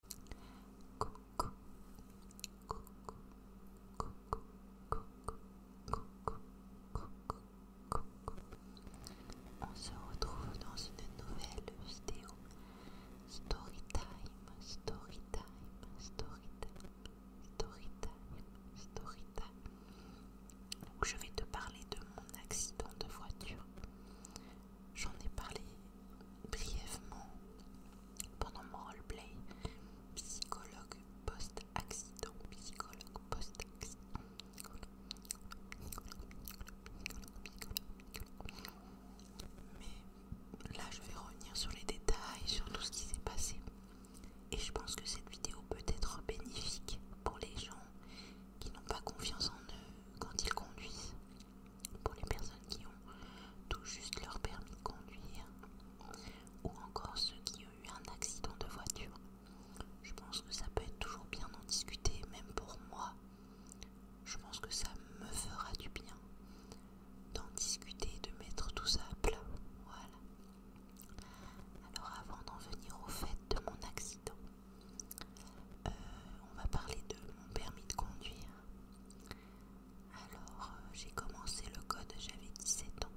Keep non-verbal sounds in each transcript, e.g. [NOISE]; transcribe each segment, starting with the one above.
Coco Coco Coco Coco Coco On se retrouve dans une nouvelle vidéo. Story Storytime, story time, story time, story time, story time. Donc je vais te parler de mon accident de voiture j'en ai parlé brièvement pendant mon roleplay psychologue post-accident, psychologue post-accident. Mais là, je vais revenir sur les détails, sur tout ce qui s'est passé. Et je pense que cette vidéo peut être bénéfique pour les gens qui n'ont pas confiance en eux quand ils conduisent pour les personnes qui ont tout juste leur permis de conduire ou encore ceux qui ont eu un accident de voiture. Je pense que ça peut être toujours bien d'en discuter, même pour moi. Je pense que ça me fera du bien d'en discuter, de mettre tout ça à plat. Voilà. Alors avant d'en venir au fait de mon accident, euh, on va parler de mon permis de conduire. Alors euh, j'ai commencé le code, j'avais 17 ans.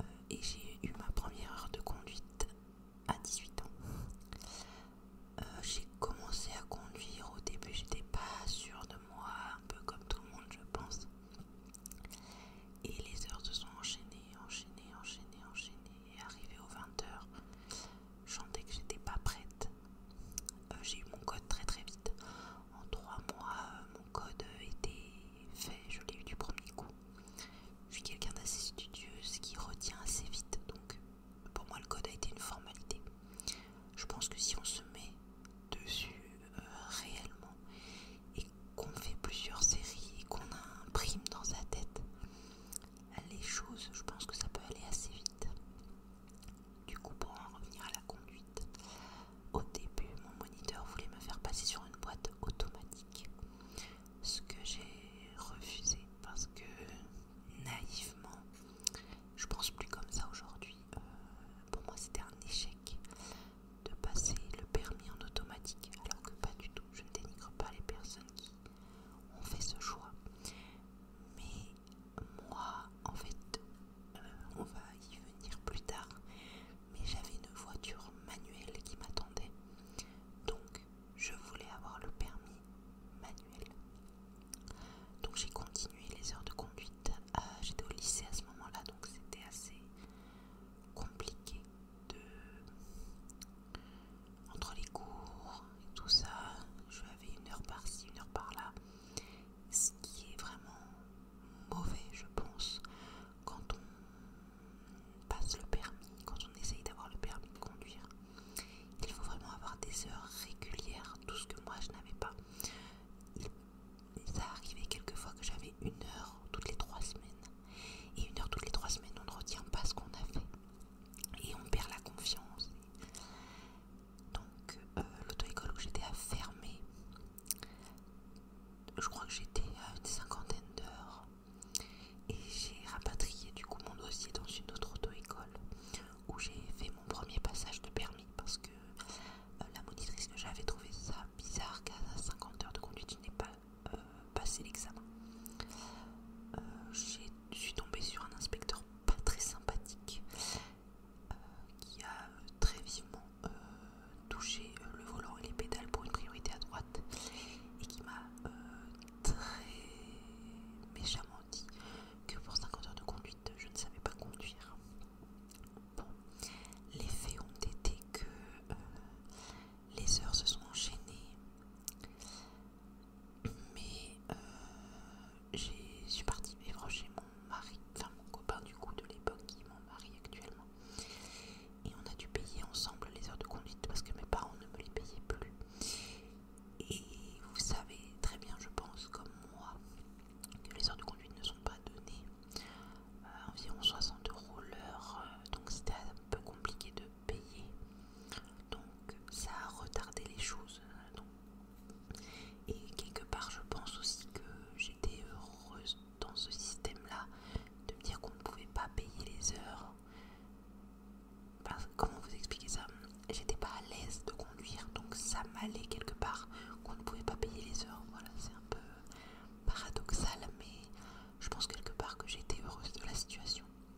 Euh, et j'ai eu ma première heure de conduite à 18 ans. Euh, j'ai commencé à conduire au début, j'étais pas sûre de moi, un peu comme tout le monde je pense. Et les heures se sont enchaînées, enchaînées, enchaînées, enchaînées. Et arrivé aux 20 heures, je sentais que j'étais pas prête. Euh, j'ai eu mon code très très vite. En trois mois, euh, mon code était fait. Je l'ai eu du premier coup. Je suis quelqu'un d'assez studieuse qui retient assez vite. Donc pour moi, le code a été une formalité. Je pense que si on se met dessus euh, réellement et qu'on fait plusieurs séries et qu'on imprime dans sa tête, les choses, je pense que ça peut aller assez vite. Du coup, pour en revenir à la conduite, au début, mon moniteur voulait me faire passer sur une boîte automatique, ce que j'ai refusé parce que naïvement, je pense plus comme ça aujourd'hui. Euh, pour moi, c'était un échec de passer le permis en automatique, alors que pas du tout. Je ne dénigre pas les personnes qui on fait ce choix. Mais moi, en fait, euh, on va y venir plus tard, mais j'avais une voiture manuelle qui m'attendait. Donc, je voulais avoir le permis manuel. Donc, j'ai continué les heures de conduite. Euh, j'étais au lycée à ce moment-là, donc c'était assez compliqué de entre les cours et tout ça, je avais une heure par-ci, une heure par-là, ce qui est vraiment mauvais, je pense, quand on passe le permis, quand on essaye d'avoir le permis de conduire. Il faut vraiment avoir des heures régulières, tout ce que moi je n'avais pas. ça arrivait quelquefois que j'avais une heure toutes les trois semaines. Et une heure toutes les trois semaines, on ne retient pas ce qu'on a fait et on perd la confiance. Donc euh, l'auto-école où j'étais à fermer, Je crois que j'étais à une cinquantaine d'heures et j'ai rapatrié du coup mon dossier dans une autre auto-école où j'ai fait mon premier passage de permis parce que euh, la monitrice que j'avais trouvé ça bizarre qu'à 50 heures de conduite je n'ai pas euh, passé l'examen je suis tombée sur un inspecteur pas très sympathique euh, qui a très vivement euh, touché le volant et les pédales pour une priorité à droite et qui m'a euh, très méchamment dit que pour 50 heures de conduite je ne savais pas conduire. Bon, les faits ont été que les heures se sont enchaînées. Mais euh, je suis partie vivre chez mon mari, enfin mon copain du coup de l'époque qui m'en mon mari actuellement. Et on a dû payer ensemble les heures de conduite parce que mes parents ne me les payaient plus. Et vous savez très bien, je pense, comme moi, que les heures de conduite ne sont pas données. Euh, environ 60 euros l'heure, donc c'était un peu compliqué de payer. Donc ça a retardé les choses. Euh, Et quelque part je pense aussi que j'étais heureuse dans ce système-là de me dire qu'on ne pouvait pas payer les heures. comment vous expliquer ça J'étais pas à l'aise de conduire, donc ça m'allait quelque part qu'on ne pouvait pas payer les heures. Voilà, c'est un peu paradoxal, mais je pense quelque part que j'étais heureuse de la situation.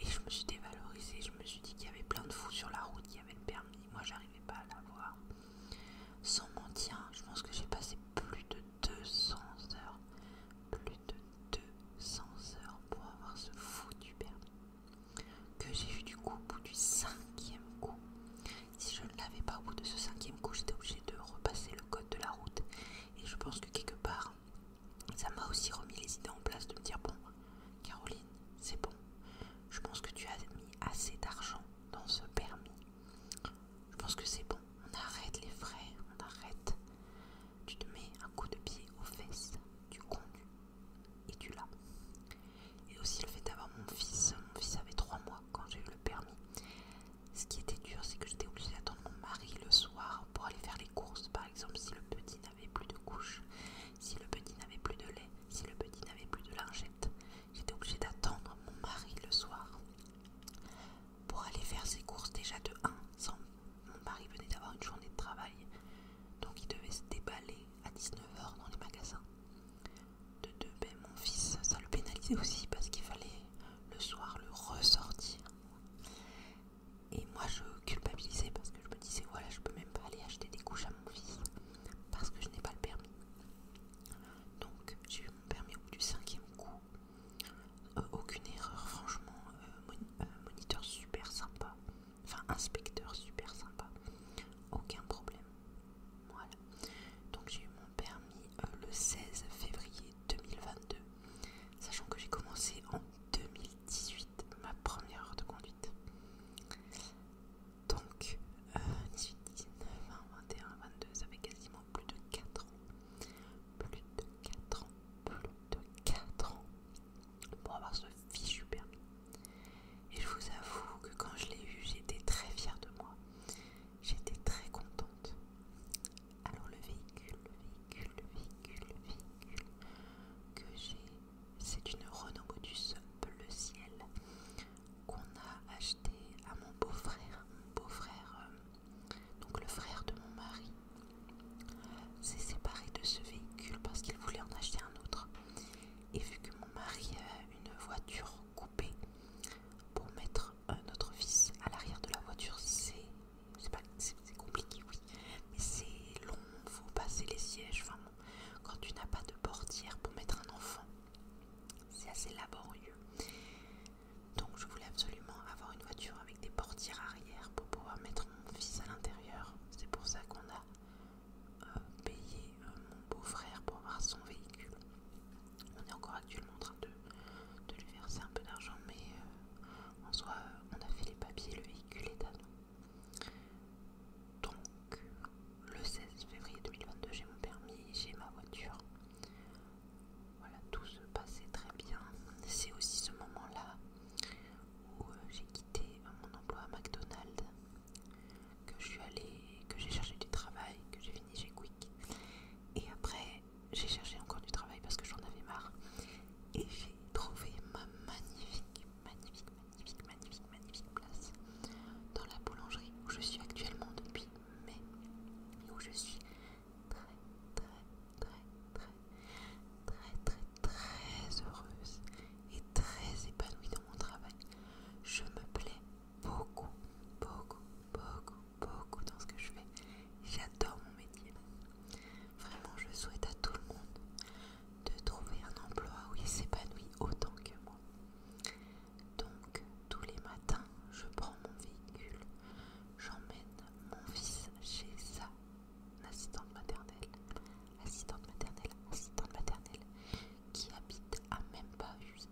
Et je me suis dévalorisée, je me suis dit qu'il y avait plein de fous sur la route qui avaient le permis. Moi, j'arrivais pas à l'avoir. Sans mentir, je pense que j'ai passé plus de 200 heures, plus de 200 heures pour avoir ce du permis. Que j'ai eu du coup au bout du cinquième coup. Si je ne l'avais pas au bout de ce cinquième coup, j'étais obligée de repasser le code de la route et je pense que quelque part, ça m'a aussi remis les idées en place de me dire, bon, Caroline, c'est bon. Je pense que tu as mis assez d'argent dans ce permis. Je pense que c'est bon. On arrête les frais, on arrête. Tu te mets un coup de pied aux fesses, tu conduis et tu l'as. Et aussi le fait d'avoir mon fils. Mon fils avait trois mois quand j'ai eu le permis. Ce qui était dur, c'est que j'étais obligée d'attendre mon mari le soir pour aller faire les courses. Par exemple, si le petit n'avait plus de couche, si le petit n'avait plus de lait, si le petit n'avait plus de lingette, j'étais obligée d'attendre mon mari le soir pour aller faire ses courses déjà de 1. Mon mari venait d'avoir une journée de travail, donc il devait se déballer à 19h dans les magasins. De 2, ben, mon fils, ça le pénalisait aussi parce qu'il fallait le soir le ressortir et moi je culpabilisais parce que je me disais voilà je peux même pas aller acheter des couches à mon fils parce que je n'ai pas le permis. Donc j'ai eu mon permis au bout du cinquième coup. Euh, aucune erreur franchement, euh, euh, moniteur super sympa, enfin inspecteur super sympa, aucun problème. Voilà. Donc j'ai eu mon permis le 16 février 2022 sachant que j'ai commencé en 2018 ma première heure de conduite. Donc, 18, 19, 20, 21, 22, ça fait quasiment plus de 4 ans. Plus de 4 ans, plus de 4 ans pour avoir ce fichu permis. Et je vous avoue que quand je l'ai eu, j'étais très fière de moi. J'étais très contente. Alors le véhicule, le véhicule, le véhicule, le véhicule que j'ai, c'est une Renault Modus bleu ciel qu'on a acheté à mon beau-frère, mon beau-frère, euh, donc le frère de mon mari, s'est séparé de ce véhicule parce qu'il voulait en acheter un autre. Et vu que mon mari a une voiture coupée pour mettre notre fils à l'arrière de la voiture, c'est compliqué, oui, mais c'est long, faut passer les sièges, enfin quand tu n'as pas de portière pour mettre un enfant, c'est assez laborieux. Donc je voulais absolument avoir une voiture avec des portières arrière pour pouvoir mettre mon fils à l'intérieur. C'est pour ça qu'on a euh, payé euh, mon beau-frère pour avoir son véhicule. On est encore actuellement en train de, lui verser un peu d'argent, mais euh, en soi, on a fait les papiers, le véhicule est à Donc, le 16 février 2022, j'ai mon permis, j'ai ma voiture. Voilà, tout se passait très bien. C'est aussi ce moment-là où euh, j'ai quitté euh, mon emploi à McDonald's, que je suis allée, que j'ai cherché du travail, que j'ai fini chez Quick. Et après, j'ai cherché encore du travail parce que j'en avais marre. Et j'ai trouvé ma magnifique, magnifique, magnifique, magnifique, magnifique place dans la boulangerie où je suis actuellement depuis mai et où je suis très, très, très, très, très, très, très heureuse et très épanouie dans mon travail. Je me plais beaucoup, beaucoup, beaucoup, beaucoup dans ce que je fais. J'adore mon métier. Vraiment, je souhaite à tout le monde de trouver un emploi où il s'épanouit autant que moi. Donc, tous les matins, je prends mon véhicule, j'emmène mon fils chez sa assistante maternelle, assistante maternelle, assistante maternelle, qui habite à même pas juste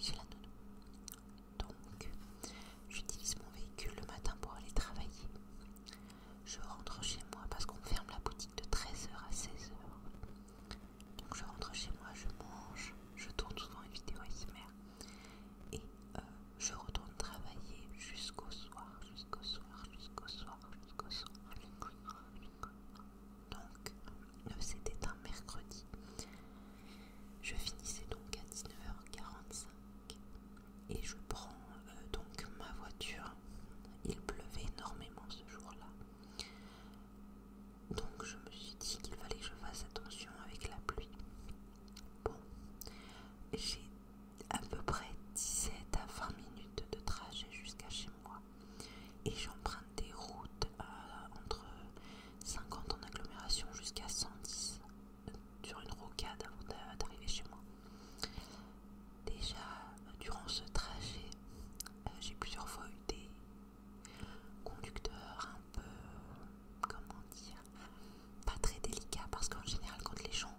J'ai la nounou. Donc, j'utilise mon véhicule le matin pour aller travailler. Je rentre chez moi parce qu'on ferme la boutique de 13h à 16h. Donc, je rentre chez moi, je mange, je tourne souvent une vidéo SMR et euh, je retourne travailler jusqu'au soir, jusqu'au soir, jusqu'au soir, jusqu'au soir donc euh, c'était un mercredi. Je finissais donc à 19h45 et je prends euh, donc ma voiture. Il pleuvait énormément ce jour-là. Donc je me suis dit qu'il fallait que je fasse attention avec la pluie. Bon, j'ai à peu près 17 à 20 minutes de trajet jusqu'à chez moi et j'emprunte des routes entre 50 en agglomération jusqu'à 110 sur une rocade avant d'arriver chez moi. Déjà, durant ce trajet, euh, j'ai plusieurs fois eu des conducteurs un peu, comment dire, pas très délicats parce qu'en général, quand les gens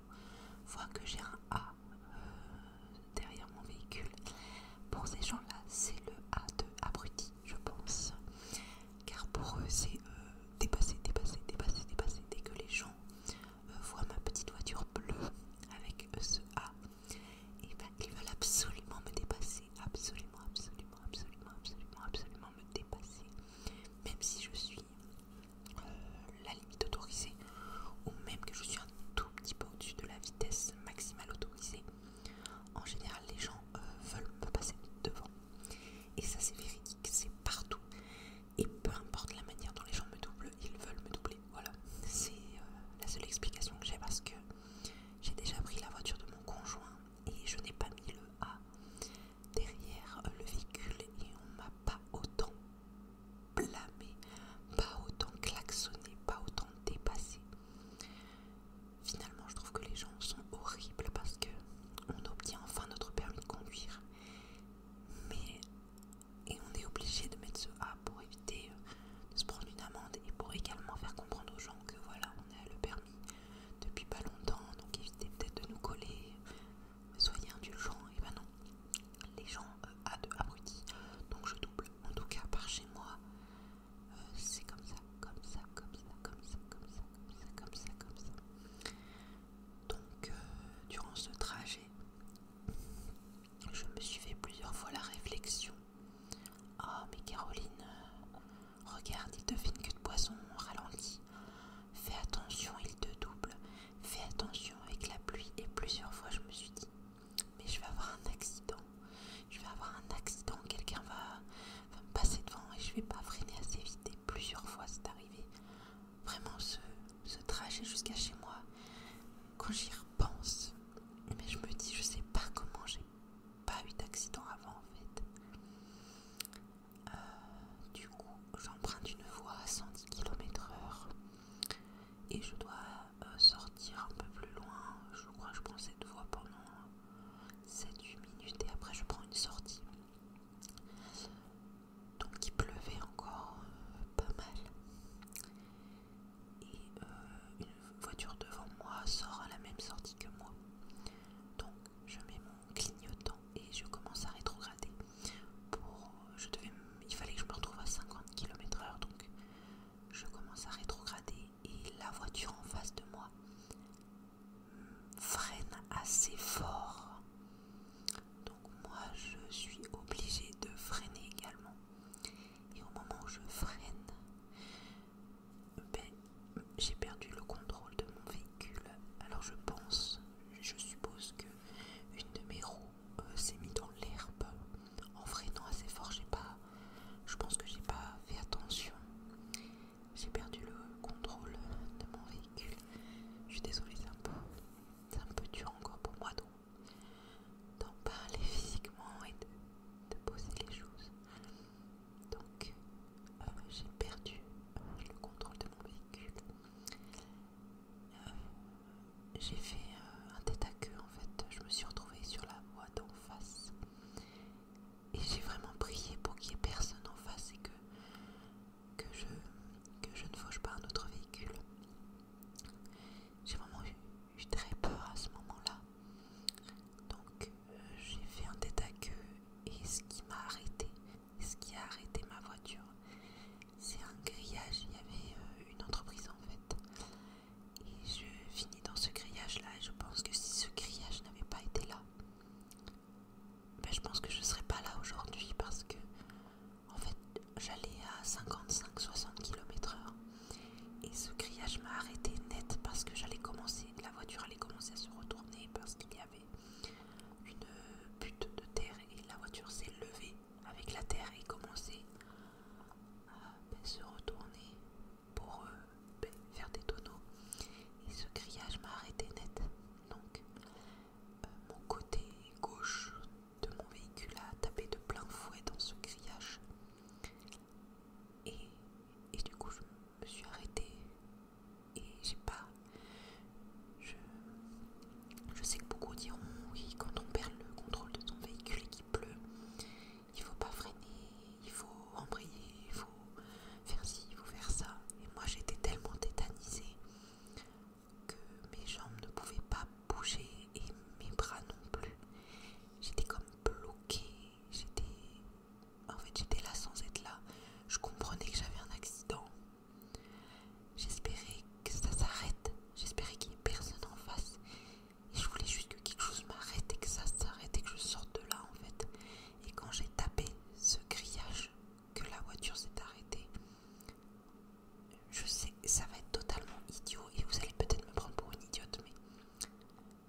voient que j'ai un A, euh, derrière mon véhicule. Pour ces gens-là, c'est le A de abruti je pense. Car pour eux, c'est euh, dépasser, dépasser, dépasser, dépasser. Dès que les gens euh, voient ma petite voiture bleue avec ce A, et eh ben, ils veulent absolument me dépasser. Absolument, absolument, absolument, absolument, absolument me dépasser. Même si je suis euh, la limite autorisée, ou même que je suis un tout petit peu au-dessus de la vitesse maximale autorisée. En général, les gens euh, veulent me passer devant. Et ça, c'est véridique, c'est partout. Et peu importe la manière dont les gens me doublent, ils veulent me doubler. Voilà, c'est euh, la seule explication que j'ai parce que j'ai déjà pris la voiture de mon conjoint et je n'ai pas mis le A derrière euh, le véhicule et on m'a pas autant blâmé, pas autant klaxonné, pas autant dépassé. Finalement, je trouve que les gens sont horribles parce que on obtient enfin notre permis de conduire, mais et on est obligé de mettre ce A pour éviter euh, de se prendre une amende et pour également faire comprendre aux gens que voilà, on a le permis depuis pas longtemps, donc évitez peut-être de nous coller. Soyez indulgents, et eh ben non, les gens euh, A de abrutis, donc je double. En tout cas, par chez moi, c'est comme ça, comme ça, comme ça, comme ça, comme ça, comme ça, comme ça, Donc, euh, durant ce trajet, je me suis fait plusieurs fois la réflexion. Ah, oh, mais Caroline, euh, regarde, il te fait une queue de poisson, ralentit. Fais attention, il te double. Fais attention avec la pluie. Et plusieurs fois, je me suis dit, mais je vais avoir un accident. Je vais avoir un accident, quelqu'un va, me passer devant et je vais pas freiner assez vite. Et plusieurs fois, c'est arrivé. Vraiment, ce, trajet jusqu'à chez moi, quand j'y repense, mais je me dis, je sais pas comment j'ai pas eu d'accident avant en fait. Euh, du coup, j'emprunte une voie à 110 km/h et je dois euh, sortir un peu plus loin. Je crois que je prends cette voie pendant 7-8 minutes et après je prends une sortie. Donc il pleuvait encore euh, pas mal. Et euh, une voiture devant moi sort à la même sortie que moi. Donc je mets mon clignotant et je commence à rétrograder. Pour, je devais, il fallait que je me retrouve à 50 km heure Donc je commence à rétrograder et la voiture en face de moi freine assez fort. Donc moi je suis obligé de freiner également. Et au moment où je freine, ben, j'ai perdu le contrôle de mon véhicule. Alors je pense, je suppose que une de mes roues euh, s'est mise dans l'herbe en freinant assez fort, j'ai pas. Je pense que j'ai pas fait attention. J'ai perdu le contrôle de mon véhicule. Je suis désolée, c'est un, peu, un peu dur encore pour moi d'en parler [LAUGHS] physiquement et de, poser les choses. Donc, euh, j'ai perdu euh, le contrôle de mon véhicule. Euh, j'ai fait un tête à queue en fait. Je me suis retrouvée sur la en face. Et j'ai vraiment prié pour qu'il n'y ait personne en face et que, que, je, que je ne fauche pas un autre véhicule. J'ai vraiment eu, très peur à ce moment-là. Donc euh, j'ai fait un tête à et ce qui m'a arrêté, ce qui a arrêté ma voiture, c'est un grillage. Il y avait euh, une entreprise en fait et je finis dans ce grillage-là, et je pense que si ce grillage n'avait pas été là, ben, je pense que je ne serais pas là aujourd'hui parce que, en fait, j'allais à 55-60 km/h. Et ce grillage m'a arrêté net parce que j'allais commencer, la voiture allait commencer à se retourner parce qu'il y avait une butte de terre et la voiture s'est levée avec la terre et commençait à euh, ben, se retourner pour euh, ben, faire des tonneaux. Et ce grillage m'a arrêté net. Donc, euh, mon côté gauche de mon véhicule a tapé de plein fouet dans ce grillage. Et, du coup, je me suis arrêtée. Et j'ai pas. je sais que beaucoup diront oui, quand on perd le contrôle de son véhicule et qu'il pleut, il faut pas freiner, il faut embrayer, il faut faire ci, il faut faire ça. Et moi j'étais tellement tétanisée que mes jambes ne pouvaient pas bouger et mes bras non plus. J'étais comme bloquée, j'étais... En fait j'étais là sans être là. Je comprenais que j'avais un accident. J'espérais que ça s'arrête, j'espérais qu'il n'y ait personne en face et je voulais juste que quelque chose m'arrête et que ça s'arrête et que je sorte de là en fait. Et quand j'ai tapé ce grillage, que la voiture s'est arrêtée, je sais, ça va être totalement idiot et vous allez peut-être me prendre pour une idiote, mais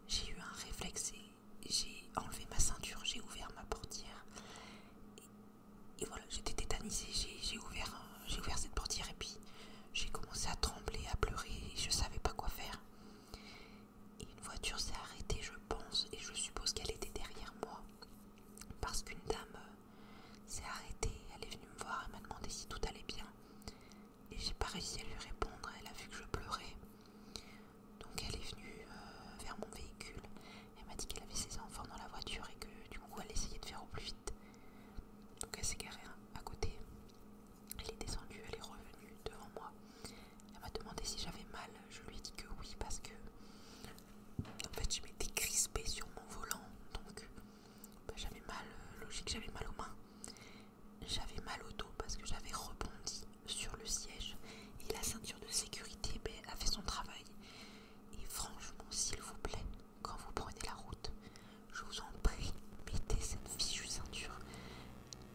j'ai eu un réflexe et j'ai enlevé ma ceinture, j'ai ouvert ma portière. Et, voilà, j'étais tétanisée, j'ai ouvert j'ai ouvert cette portière et puis j'ai commencé à trembler, à pleurer, et je savais pas quoi faire. une voiture s'est arrêtée, je pense, et je suppose qu'elle était derrière moi. Parce qu'une dame euh, s'est arrêtée, elle est venue me voir, elle m'a demandé si tout allait bien. Et j'ai pas réussi à lui répondre, elle a vu que je pleurais. Donc elle est venue euh, vers mon véhicule, elle m'a dit qu'elle avait ses enfants dans la voiture et que du coup elle essayait de faire au plus vite donc elle s'est garée à côté. Elle est descendue, elle est revenue devant moi. Elle m'a demandé si j'avais mal. Je lui ai dit que oui parce que en fait je m'étais crispée sur mon volant. Donc bah, j'avais mal, euh, logique j'avais mal aux mains. J'avais mal au dos parce que j'avais rebondi sur le siège. Et la ceinture de sécurité bah, a fait son travail. Et franchement, s'il vous plaît, quand vous prenez la route. Je vous en prie, mettez cette fichue ceinture.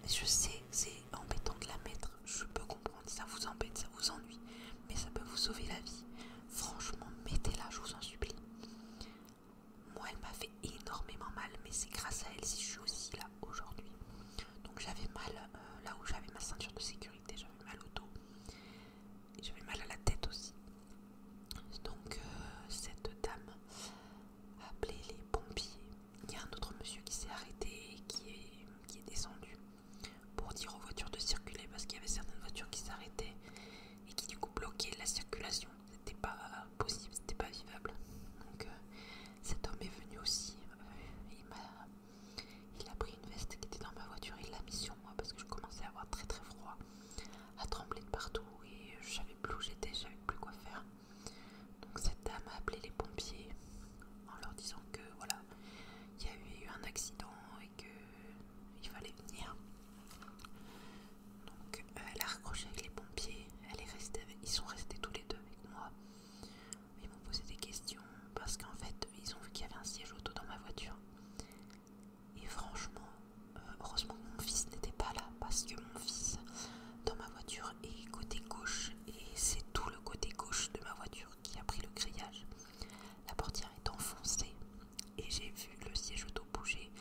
Je sais, c'est embêtant de la mettre, je peux comprendre, ça vous embête, ça vous ennuie, mais ça peut vous sauver la vie. Franchement, mettez-la, je vous en supplie. Moi, elle m'a fait énormément mal, mais c'est grâce à elle si je suis aussi là aujourd'hui. Donc j'avais mal euh, là où j'avais ma ceinture de sécurité, j'avais mal au dos, j'avais mal à la tête aussi. Donc euh, cette dame a appelé les pompiers. Il y a un autre monsieur qui s'est arrêté, qui est, qui est descendu pour dire aux voitures de circuler parce qu'il y avait certaines voitures qui s'arrêtaient et qui du coup bloquaient la circulation. C'était pas possible, c'était pas vivable. Donc euh, cet homme est venu aussi. Euh, il, a, pris une veste qui était dans ma voiture, il l'a mis sur moi parce que je commençais à avoir très très froid à trembler de partout et je savais plus où j'étais, je savais plus quoi faire. Donc cette dame a appelé les pompiers en leur disant que voilà, il y a eu un accident et qu'il fallait venir. Donc euh, elle a raccroché avec les pompiers, elle est restée ils sont restés tous les deux avec moi. Ils m'ont posé des questions parce qu'en fait ils ont vu qu'il y avait un siège auto dans ma voiture. Et franchement, euh, heureusement que mon fils n'était pas là parce que mon fils dans ma voiture est côté gauche et c'est tout le côté gauche de ma voiture qui a pris le grillage. La portière est enfoncée et j'ai vu le siège auto bouger.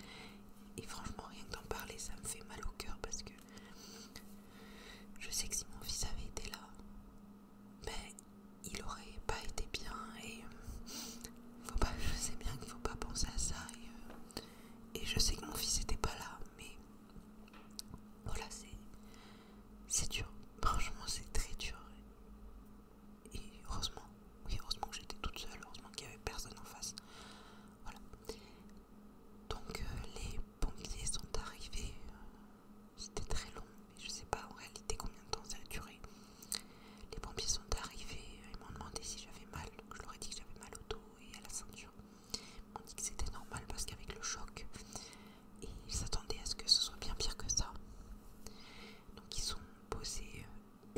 Et franchement, rien que d'en parler, ça me fait mal au cœur parce que je sais que si mon fils avait été là, ben, il n'aurait pas été bien et je sais bien qu'il faut pas penser à ça et, euh, je sais que mon fils n'était pas là, mais voilà, c'est dur. Franchement, c'est très dur. Et heureusement, oui, heureusement que j'étais toute seule, heureusement qu'il n'y avait personne en face. Voilà. Donc euh, les pompiers sont arrivés. C'était très long, mais je sais pas en réalité combien de temps ça a duré. Les pompiers sont arrivés, ils m'ont demandé si j'avais mal, donc je leur ai dit que j'avais mal au dos et à la ceinture. Ils m'ont dit que c'était normal parce qu'avec le choc, ils s'attendaient à ce que ce soit bien pire que ça. Donc ils sont posés,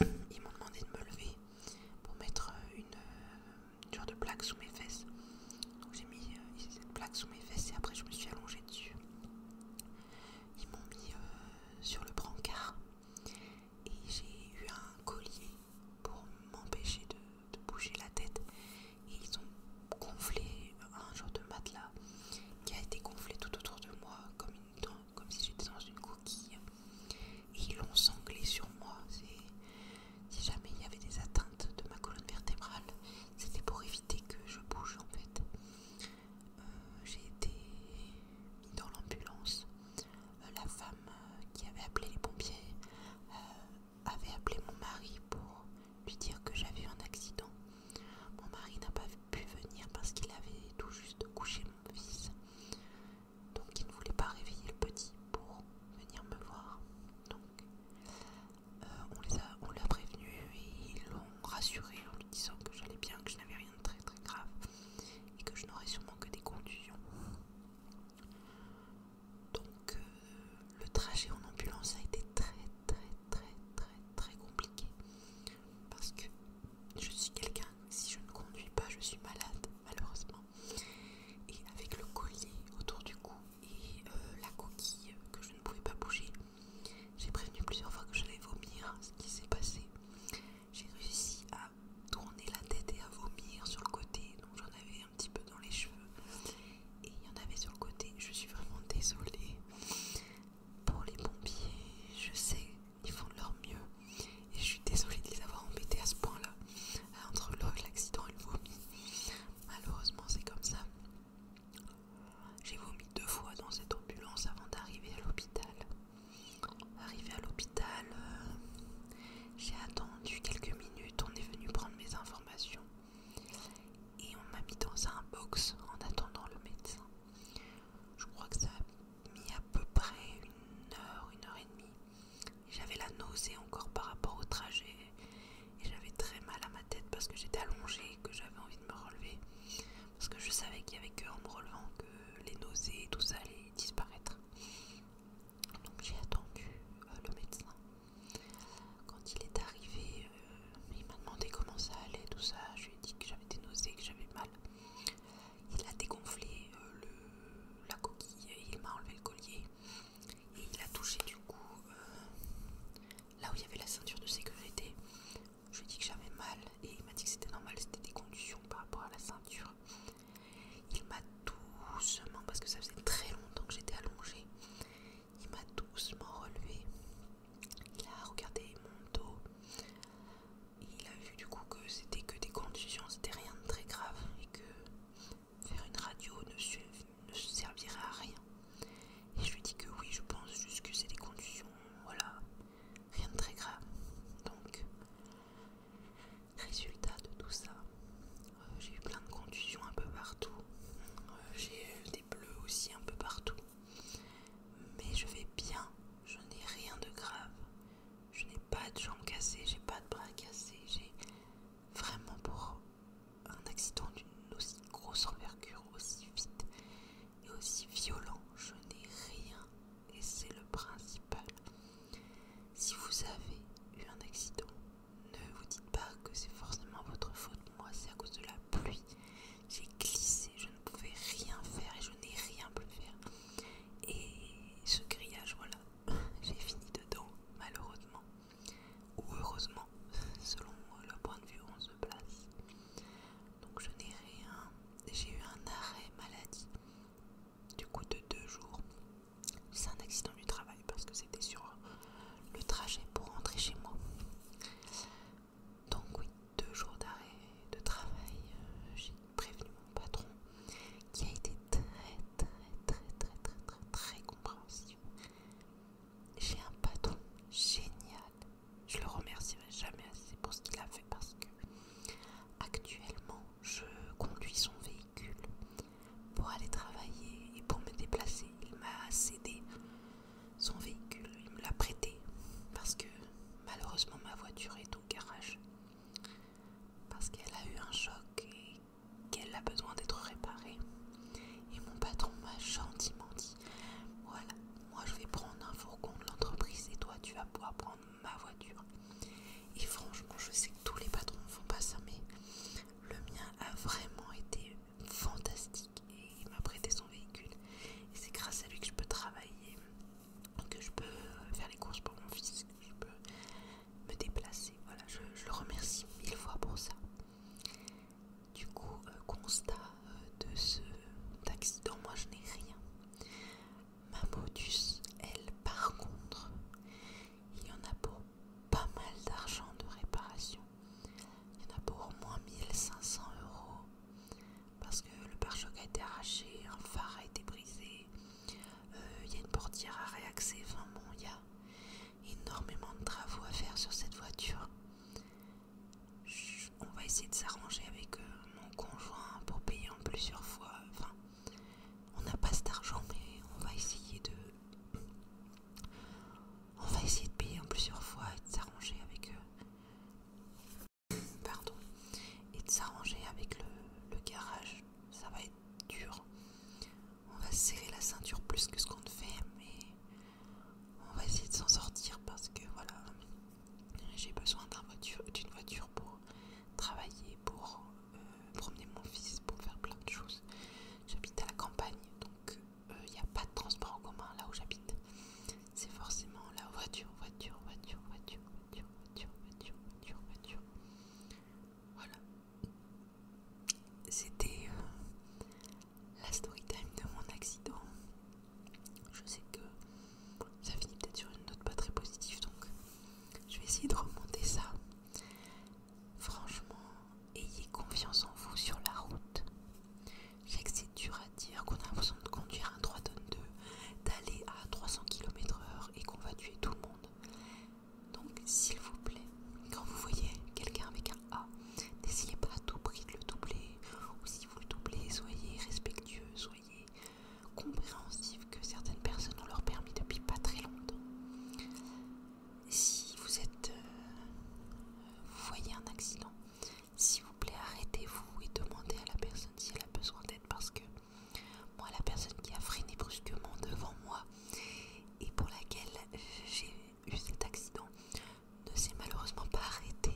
euh, ils m'ont demandé de me lever pour mettre euh, euh, une, genre de plaque sous mes fesses. Donc j'ai mis cette plaque sous mes fesses et après je me suis allongée dessus. Ils m'ont mis sur le brancard et j'ai eu un collier pour m'empêcher de, bouger la tête et ils ont gonflé un genre de matelas qui a été gonflé tout autour de moi comme, une, comme si j'étais dans une coquille et ils l'ont sanglé sur moi si jamais il y avait des atteintes de ma colonne vertébrale c'était pour éviter que je bouge en fait euh, j'ai été mis dans l'ambulance. Euh, la femme euh, qui avait appelé les pompiers avait appelé mon mari pour lui dire que j'avais eu un accident. Mon mari n'a pas pu venir parce qu'il avait tout juste couché mon fils. Donc il ne voulait pas réveiller le petit pour venir me voir. Donc on on l'a prévenu et ils l'ont rassuré en lui disant que j'allais bien, que je n'avais rien de très très grave et que je n'aurais sûrement que des conductions. Donc euh, le trajet en ambulance a été très très très très très compliqué parce que je suis quelqu'un, si je ne conduis pas, je suis malade malheureusement. Et avec le collier autour du cou et euh, la coquille que je ne pouvais pas bouger, j'ai prévenu plusieurs fois que j'allais vomir, ce qui s'est passé j'ai réussi à tourner la tête et à vomir sur le côté, donc j'en avais un petit peu dans les cheveux et il y en avait sur le côté. Je suis vraiment désolée pour les pompiers, je sais, ils font de leur mieux et je suis désolée de les avoir embêtés à ce point-là euh, entre l'accident et le vomi. Malheureusement, c'est comme ça. J'ai vomi deux fois dans cette ambulance avant d'arriver à l'hôpital. Arrivé à l'hôpital, euh, j'ai attendu quelques minutes, on est venu prendre mes informations et on m'a mis dans un box en attendant le médecin. Je crois que ça a mis à peu près une heure, une heure et demie. J'avais la nausée encore par rapport au trajet et j'avais très mal à ma tête parce que j'étais allongée et que j'avais envie de me relever parce que je savais qu'il y avait que en me relevant que les nausées et tout ça allait disparaître. Donc j'ai attendu euh, le médecin. Quand il est arrivé, euh, il m'a demandé comment ça allait, tout ça. Je lui ai dit que j'avais des nausées, que j'avais mal. Il a dégonflé euh, la coquille, il m'a enlevé le collier et il a touché du coup là où il y avait la ceinture de sécurité je lui ai dit que j'avais mal et il m'a dit que c'était normal, c'était des conditions par rapport à la ceinture. Il m'a doucement, parce que ça faisait très longtemps que j'étais allongée, il m'a doucement relevé. Il a regardé mon dos. Il a vu du coup que c'était que des conditions, c'était rien de très grave et que faire une radio ne, servirait à rien. Et je lui ai dit que oui, je pense juste que c'est des conditions, voilà, rien de très grave. Donc, résultat de tout ça, euh, j'ai eu plein de contusions un peu partout. Euh, j'ai eu des bleus aussi un peu partout. Mais je vais bien, je n'ai rien de grave. Je n'ai pas de jambes cassées, j'ai pas de bras cassés, j'ai vraiment pour un accident d'une aussi grosse envergure aussi vite et aussi violent, je n'ai rien et c'est le principal. Si vous avez eu un accident, ne vous dites pas que c'est forcément votre faute. Moi, c'est à cause de la pluie. J'ai glissé, je ne pouvais rien faire et je n'ai rien pu faire. Et ce grillage, voilà, [LAUGHS] j'ai fini dedans, malheureusement. Ou heureusement, [LAUGHS] selon le point de vue où on se place donc je n'ai rien. J'ai eu un arrêt maladie du coup de deux jours. C'est un accident du travail parce que c'était sur le trajet pour rentrer chez moi. Donc oui, deux jours d'arrêt de travail. Euh, j'ai prévenu mon patron qui a été très très très très très très très compréhensif. J'ai un patron génial je le remercierai jamais assez pour ce qu'il a fait parce que actuellement je conduis son véhicule pour aller travailler et pour me déplacer. Il m'a cédé son véhicule, il me l'a prêté parce que malheureusement ma voiture est au garage parce qu'elle a eu un choc et qu'elle a besoin d'être réparée. Et mon patron m'a gentiment dit voilà, moi je vais prendre un fourgon de l'entreprise et toi tu vas pouvoir prendre ma voiture. Et franchement, je sais que tous les patrons ne font pas ça, mais le mien a vraiment été fantastique et il m'a prêté son véhicule. Et c'est grâce à lui que je peux travailler, que je peux euh, faire les courses pour mon fils, que je peux me déplacer. Voilà, je, le remercie mille fois pour ça. Du coup, euh, constat euh, de ce accident, moi je n'ai rien. Ma modus, elle, par contre, il y en a pour pas mal d'argent de réparation. Il y en a pour au moins 1500 euros parce que le pare-choc a été arraché, un phare a été brisé, euh, il y a une portière à réaxer. Enfin bon, il y a énormément de travaux à faire sur cette voiture on va essayer de s'arranger avec euh, mon conjoint pour payer en plusieurs fois. Enfin, on n'a pas cet argent, mais on va essayer de, on va essayer de payer en plusieurs fois et de s'arranger avec, eux. pardon, et de s'arranger avec le, garage. Ça va être dur. On va serrer la ceinture plus que ce qu'on ne fait, mais on va essayer de s'en sortir parce que voilà, j'ai besoin d'une voiture, pour travailler, pour euh, promener mon fils, pour faire plein de choses. J'habite à la campagne, donc il euh, n'y a pas de transport en commun là où j'habite. C'est forcément la voiture, voiture, voiture, voiture, voiture, voiture, voiture, voiture, voiture. Voilà. C'était euh, la story time de mon accident je sais que ça finit peut-être sur une note pas très positive, donc je vais essayer de remonter ça. Franchement, ayez confiance en vous sur la route. Je sais que c'est dur à dire, qu'on a l'impression de conduire un 3 tonnes 2, d'aller à 300 km/h et qu'on va tuer tout le monde. Donc, s'il vous plaît, quand vous voyez quelqu'un avec un A, N'essayez pas à tout prix de le doubler, ou si vous le doublez, soyez respectueux, soyez compréhensif que certaines personnes ont leur permis depuis pas très longtemps. Si vous êtes, euh, vous voyez un accident, s'il vous plaît, arrêtez-vous et demandez à la personne si elle a besoin d'aide parce que moi, la personne qui a freiné brusquement devant moi et pour laquelle j'ai eu cet accident, ne s'est malheureusement pas arrêté.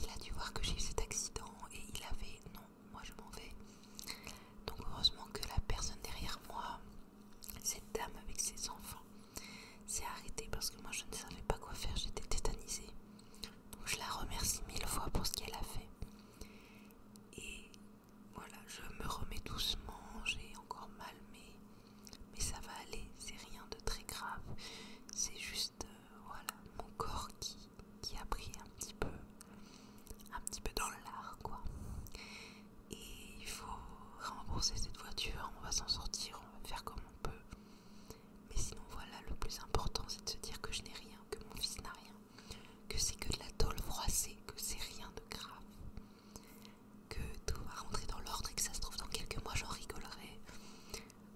Il a dû voir que j'ai eu cet accident et il avait non, moi je m'en vais. Donc heureusement que la personne derrière moi, cette dame avec ses enfants, s'est arrêtée parce que moi je ne savais pas quoi faire, j'étais tétanisée. Donc je la remercie mille fois pour ce qu'elle a fait. Et voilà, je me remets doucement, j'ai encore mal, mais, mais ça va aller, c'est rien de très grave. C'est juste euh, voilà mon corps qui, a pris un petit peu un petit peu dans l'art quoi et il faut rembourser cette voiture on va s'en sortir on va faire comme on peut mais sinon voilà le plus important c'est de se dire que je n'ai rien que mon fils n'a rien que c'est que de la tôle froissée que c'est rien de grave que tout va rentrer dans l'ordre et que ça se trouve dans quelques mois j'en rigolerai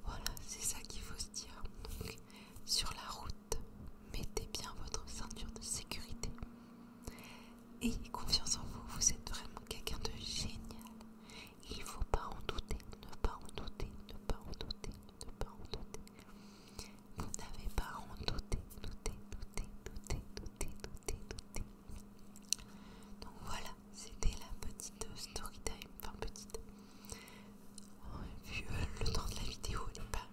voilà, c'est ça qu'il faut se dire. Donc, sur la route, mettez bien votre ceinture de sécurité. Et confiance en vous, vous êtes vraiment quelqu'un de génial. Il ne faut pas en douter, ne pas en douter, ne pas en douter, ne pas en douter. Vous n'avez pas en douter, douter, douter, douter, douter, douter, douter. Donc voilà, c'était la petite story time, enfin petite. Vu oh, euh, le temps de la vidéo, elle n'est pas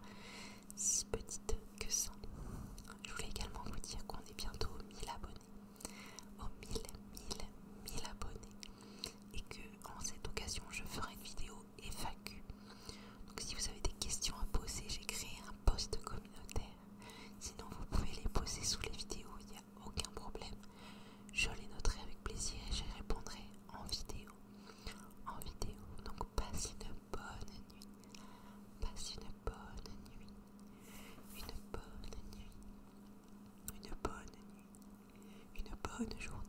si petite que ça. Je voulais également vous dire qu'on est bientôt aux 1000 abonnés. Aux 1000, 1000, abonnés. Et que en cette occasion, je ferai une vidéo FAQ. Donc si vous avez des questions à poser, j'ai créé un post communautaire. Sinon, vous pouvez les poser sous les vidéos aucun problème. Je les noterai avec plaisir et je répondrai en vidéo. En vidéo, donc passez une bonne nuit. Passez une bonne nuit. Une bonne nuit. Une bonne nuit. Une bonne journée.